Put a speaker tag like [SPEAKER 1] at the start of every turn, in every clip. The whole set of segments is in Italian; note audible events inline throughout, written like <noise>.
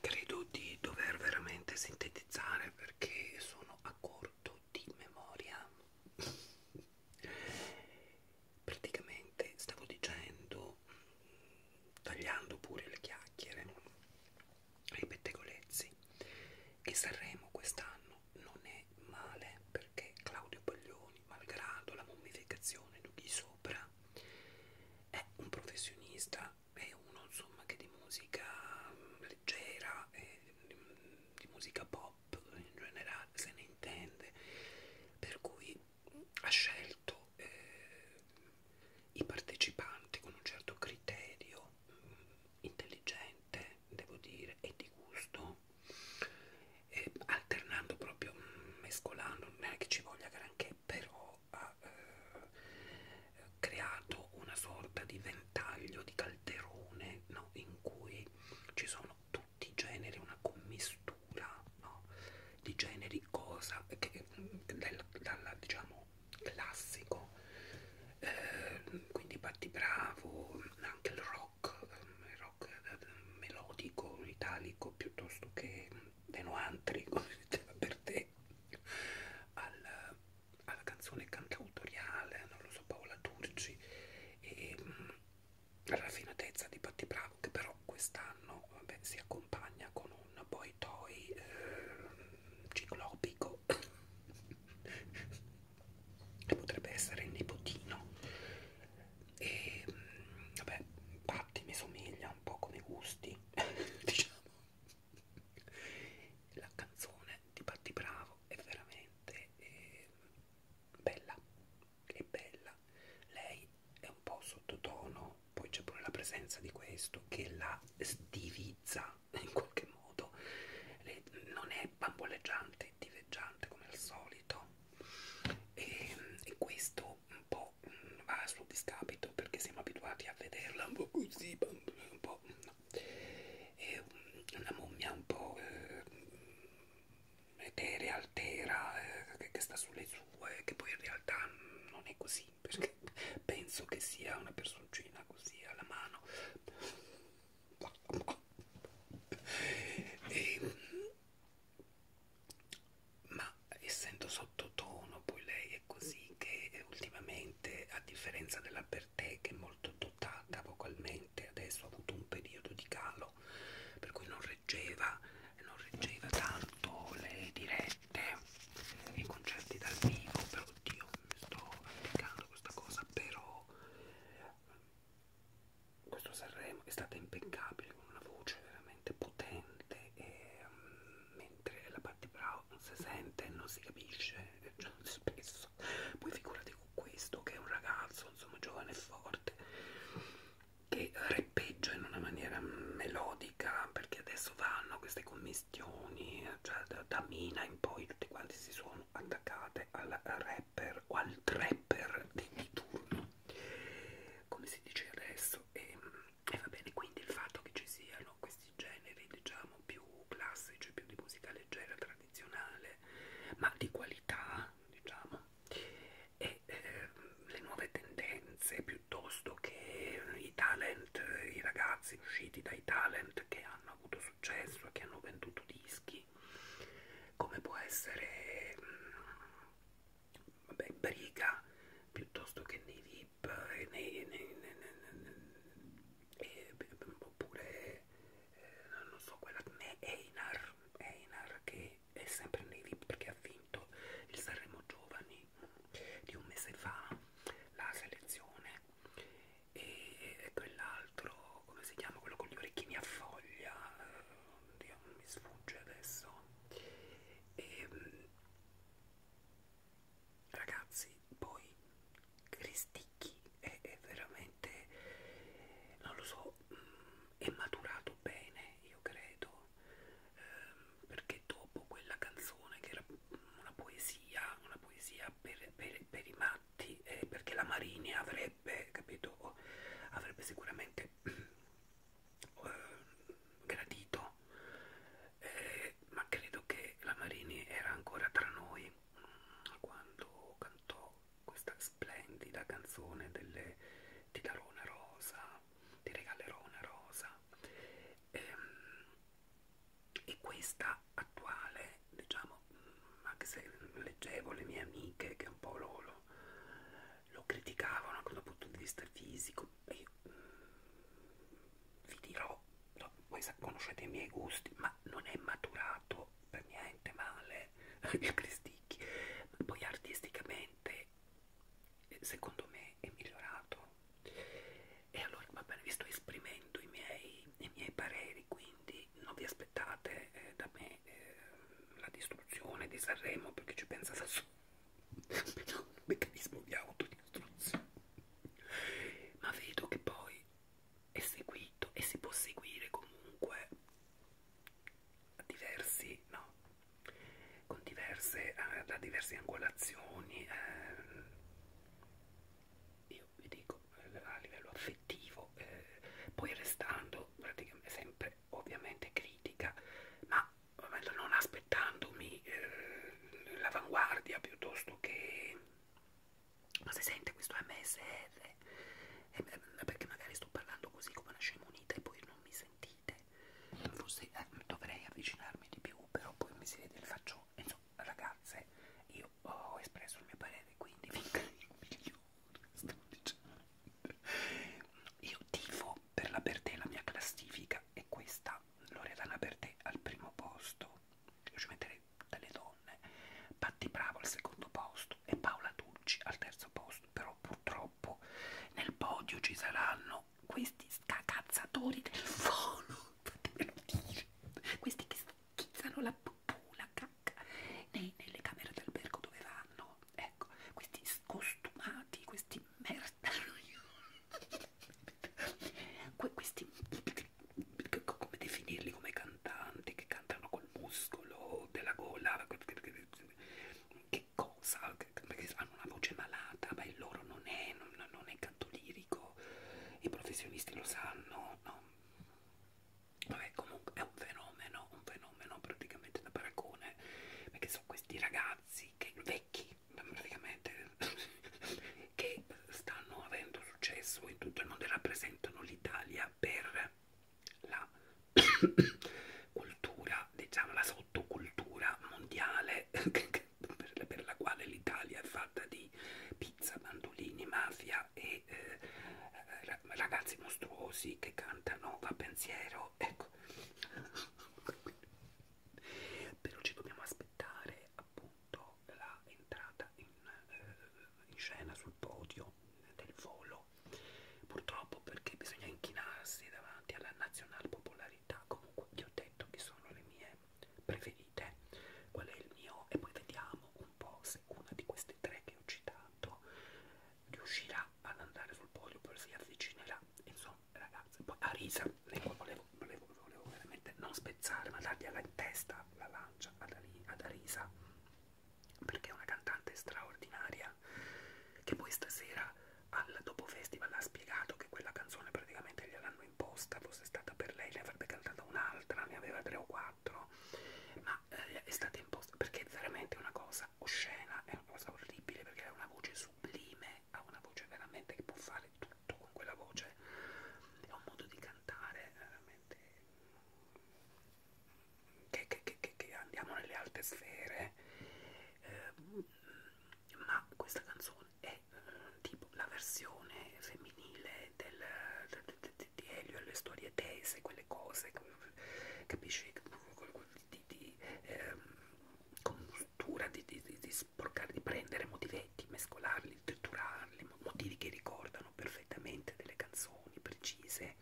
[SPEAKER 1] Credo di dover veramente sintetizzare perché sono a corto di memoria. Praticamente stavo dicendo, tagliando pure le chiacchiere ai pettegolezzi, che Sanremo quest'anno non è male perché Claudio Baglioni malgrado la mummificazione di chi sopra, è un professionista, è uno insomma che di musica mm, leggera, mm, di musica pop in generale se ne intende, per cui ha scelto eh, i partecipanti con un certo criterio mh, mm, intelligente, devo dire, e di gusto e alternando proprio mescolando non è che ci voglia granché però ha eh, creato una sorta di ventaglio di calderone no? in cui ci sono tutti i generi una commistura no? di generi cosa che, del, dalla, diciamo classico eh, quindi Patti Bravo anche il rock rock, ehm, rock ehm, melodico, italico piuttosto che ehm, denoantri, <laughs> come si diceva per te, al, alla canzone cantautoriale, non lo so, Paola Turci e alla raffinatezza di Patti Bravo, che però quest'anno si accompagna con un boy toy eh, ciclopico <laughs> che potrebbe essere il nipotino e vabbè infatti mi somiglia un po' come gusti <laughs> diciamo la canzone di Patti Bravo è veramente eh, bella è bella lei è un po' sottotono poi c'è pure la presenza di questo che la stivizza in qualche modo lei non è bamboleggiante diveggiante come al solito e, e questo un po' va a suo discapito perché siamo abituati a vederla un po' così, un po' no. è una mummia un po' eh, eterea, altera, eh, che, che sta sulle sue, che poi in realtà non è così perché penso che sia una personcina così alla mano e, ma essendo sottotono poi lei è così che ultimamente a differenza della Bertè che è molto dotata vocalmente adesso ha avuto un periodo di calo per cui non reggeva non reggeva tanto le dirette e i concerti dal vivo però oddio mi sto applicando questa cosa però questo Sanremo è stata impeccabile con una voce veramente potente e um, mentre la Patti Bravo non si sente non si capisce cioè, eh, spesso poi figurati con questo che è un ragazzo insomma giovane e forte che rappeggia in una maniera mm, melodica perché adesso vanno queste commistioni eh, cioè da, da Mina in poi tutti quanti si sono attaccate al rap rapper o al trapper di ogni turno come si dice adesso e, e va bene quindi il fatto che ci siano questi generi diciamo più classici cioè più di musica leggera tradizionale ma di qualità diciamo e eh, le nuove tendenze piuttosto che i talent i ragazzi usciti dai talent che hanno avuto successo che hanno venduto dischi giochi come può essere mh, vabbè, Briga piuttosto che nei VIP e nei, nei, nei, nei, nei e, oppure eh, non so quella né Einar, Einar che è sempre nei VIP perché ha vinto il Sanremo Giovani di un mese fa la selezione e, e quell'altro quello, come si chiama, quello con gli orecchini a foglia, eh, oddio, non mi sfugge adesso. E, ehm, ragazzi, poi Cristicchi è, è veramente, non lo so, mm, è maturato bene, io credo, ehm, perché dopo quella canzone che era una poesia, una poesia per, per, per i matti, eh, perché la Marini avrebbe avrebbe capito o avrebbe sicuramente eh, gradito eh, ma credo che la Marini era ancora tra noi mm, quando cantò questa splendida canzone delle, ti darò una rosa ti regalerò una rosa e, ehm, e questa attuale diciamo io anche se leggevo le mie amiche che un po' lo, lo, lo criticavano anche dal punto di vista fisico e io, mm, vi dirò no, voi conoscete i miei gusti ma non è maturato per niente male <laughs> il Cristicchi ma poi artisticamente secondo me è migliorato e allora va bene vi sto esprimendo i miei, i miei pareri quindi non vi aspettate eh, da me eh, la distruzione di Sanremo perché ci pensa da solo un meccanismo di autodistruzione ma vedo che poi è seguito e si può seguire comunque diversi, no, con diverse, eh, da diverse angolazioni eh, io vi dico eh, a livello affettivo, eh, poi restando praticamente sempre ovviamente critica, ma non aspettandomi eh, l'avanguardia piuttosto che... Ma si sente questo MSR? Eh, eh, perché magari sto parlando così come una scemunita e poi non mi sentite. Forse eh, dovrei avvicinarmi di più, però poi mi si vede il faccio. Insomma, ragazze, io io ho oh, espresso il mio parere, quindi finché io sto dicendo. Io tifo per la Bertè, la mia classifica è questa, Loredana Bertè al primo posto, io ci metterei delle donne, Patti Bravo al secondo posto e Paola Tucci al terzo posto, però purtroppo nel podio ci saranno questi scacazzatori del fono, fatemelo <laughs> dire, questi che schizzano la pupù, la cacca nei, nelle camere d'albergo dove vanno, ecco, questi scostumati, questi merda, <laughs> que questi, come definirli come cantanti che cantano col muscolo della gola, che cosa, perché hanno una voce malata, ma il loro non è, non, non è canto lirico, i professionisti lo sanno, no? Vabbè, comunque è un fenomeno, un fenomeno praticamente da paragone, perché sono questi ragazzi che vecchi, praticamente, <laughs> che stanno avendo successo in tutto il mondo e rappresentano l'Italia per la <coughs> cultura, diciamo la sottocultura mondiale, <laughs> per la quale l'Italia è fatta di pizza, bandolini, mafia e eh, ragazzi mostruosi che cantano a pensiero, ecco. <laughs> Però ci dobbiamo aspettare appunto l'entrata in, eh, in scena sul podio del volo, purtroppo perché bisogna inchinarsi davanti alla nazionale popolarità. Comunque vi ho detto che sono le mie preferite, qual è il mio e poi vediamo un po' se forse una di queste tre che ho citato riuscirà ad andare sul podio, poi si avvicinerà, insomma ragazzi, poi a risa, volevo, volevo, volevo veramente non spezzare, ma dargli alla in testa la lancia ad Arisa, perché è una cantante straordinaria, che poi stasera al dopo festival ha spiegato che quella canzone praticamente gliel'hanno imposta, fosse stata per lei, ne avrebbe cantata un'altra, ne aveva tre o quattro fatto, ma eh, è stata imposta perché è veramente una cosa oscena, è una cosa orribile perché ha una voce sublime, ha una voce veramente che può fare tutto con quella voce, è un modo di cantare eh, veramente che, che, che, che, che andiamo nelle alte sfere, eh, ma questa canzone è eh, tipo la versione femminile del, del di Elio alle storie tese, quelle cose, capisci? Di, di eh, compostura, di, di, di, di sporcare, di prendere motivetti, mescolarli, triturarli, motivi che ricordano perfettamente delle canzoni precise.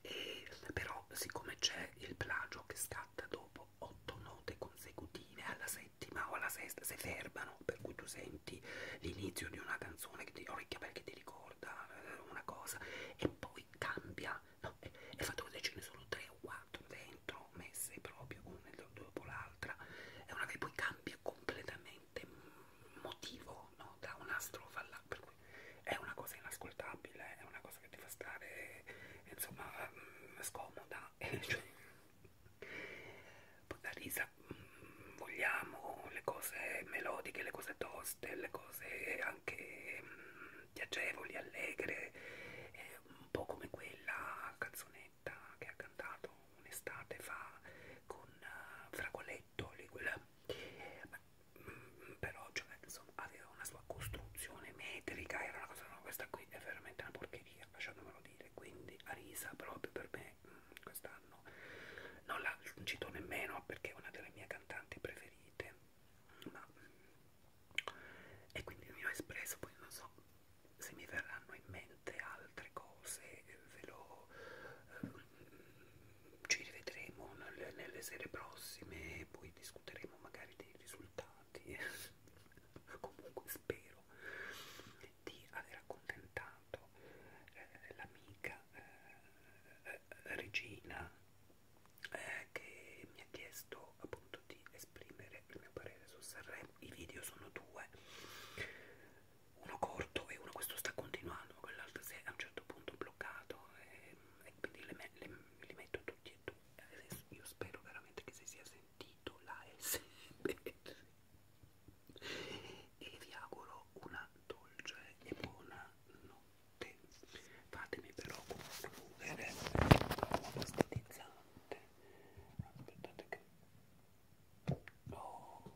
[SPEAKER 1] E, però, siccome c'è il plagio che scatta dopo otto note consecutive alla settima o alla sesta, si fermano, per cui tu sei senti l'inizio di una canzone che ti orecchia perché ti ricorda eh, una cosa e poi cambia, no, e il fatto che ce ne sono tre o quattro dentro messe proprio una dopo l'altra è una che poi cambia completamente motivo no? da una strofa all'altra per cui è una cosa inascoltabile è una cosa che ti fa stare insomma mm, scomoda <laughs> cioè, la risa mh, mm, vogliamo le cose melodiche, le cose toste, le cose anche mh, mm, piacevoli, allegre, eh, un po' come quella canzonetta che ha cantato un'estate fa con uh, Fragoletto, lì, quella. Ma, mh, mm, però cioè, insomma, aveva una sua costruzione metrica, era una cosa, no, questa qui è veramente una porcheria, lasciatemelo dire, quindi a risa proprio per me mh, questa quest'anno. Non la cito nemmeno perché è una delle mie cantanti preferite, ma... e quindi mi ho espresso, poi non so se mi verranno in mente altre cose, ve lo... Eh, ci rivedremo nelle, nelle sere prossime, poi discuteremo magari dei risultati, <laughs> comunque spero di aver accontentato eh, l'amica eh, Regina eh, che mi ha chiesto appunto di esprimere il mio parere su Sanremo. I video sono due, uno corto e uno questo sta continuando, ma quell'altro si è a un certo punto bloccato e, eh, e quindi le, le, li metto tutti e due. Io spero veramente che si sia sentito la SBR e vi auguro una dolce e buona notte fatemi però concludere con stilizzante aspettate che oh.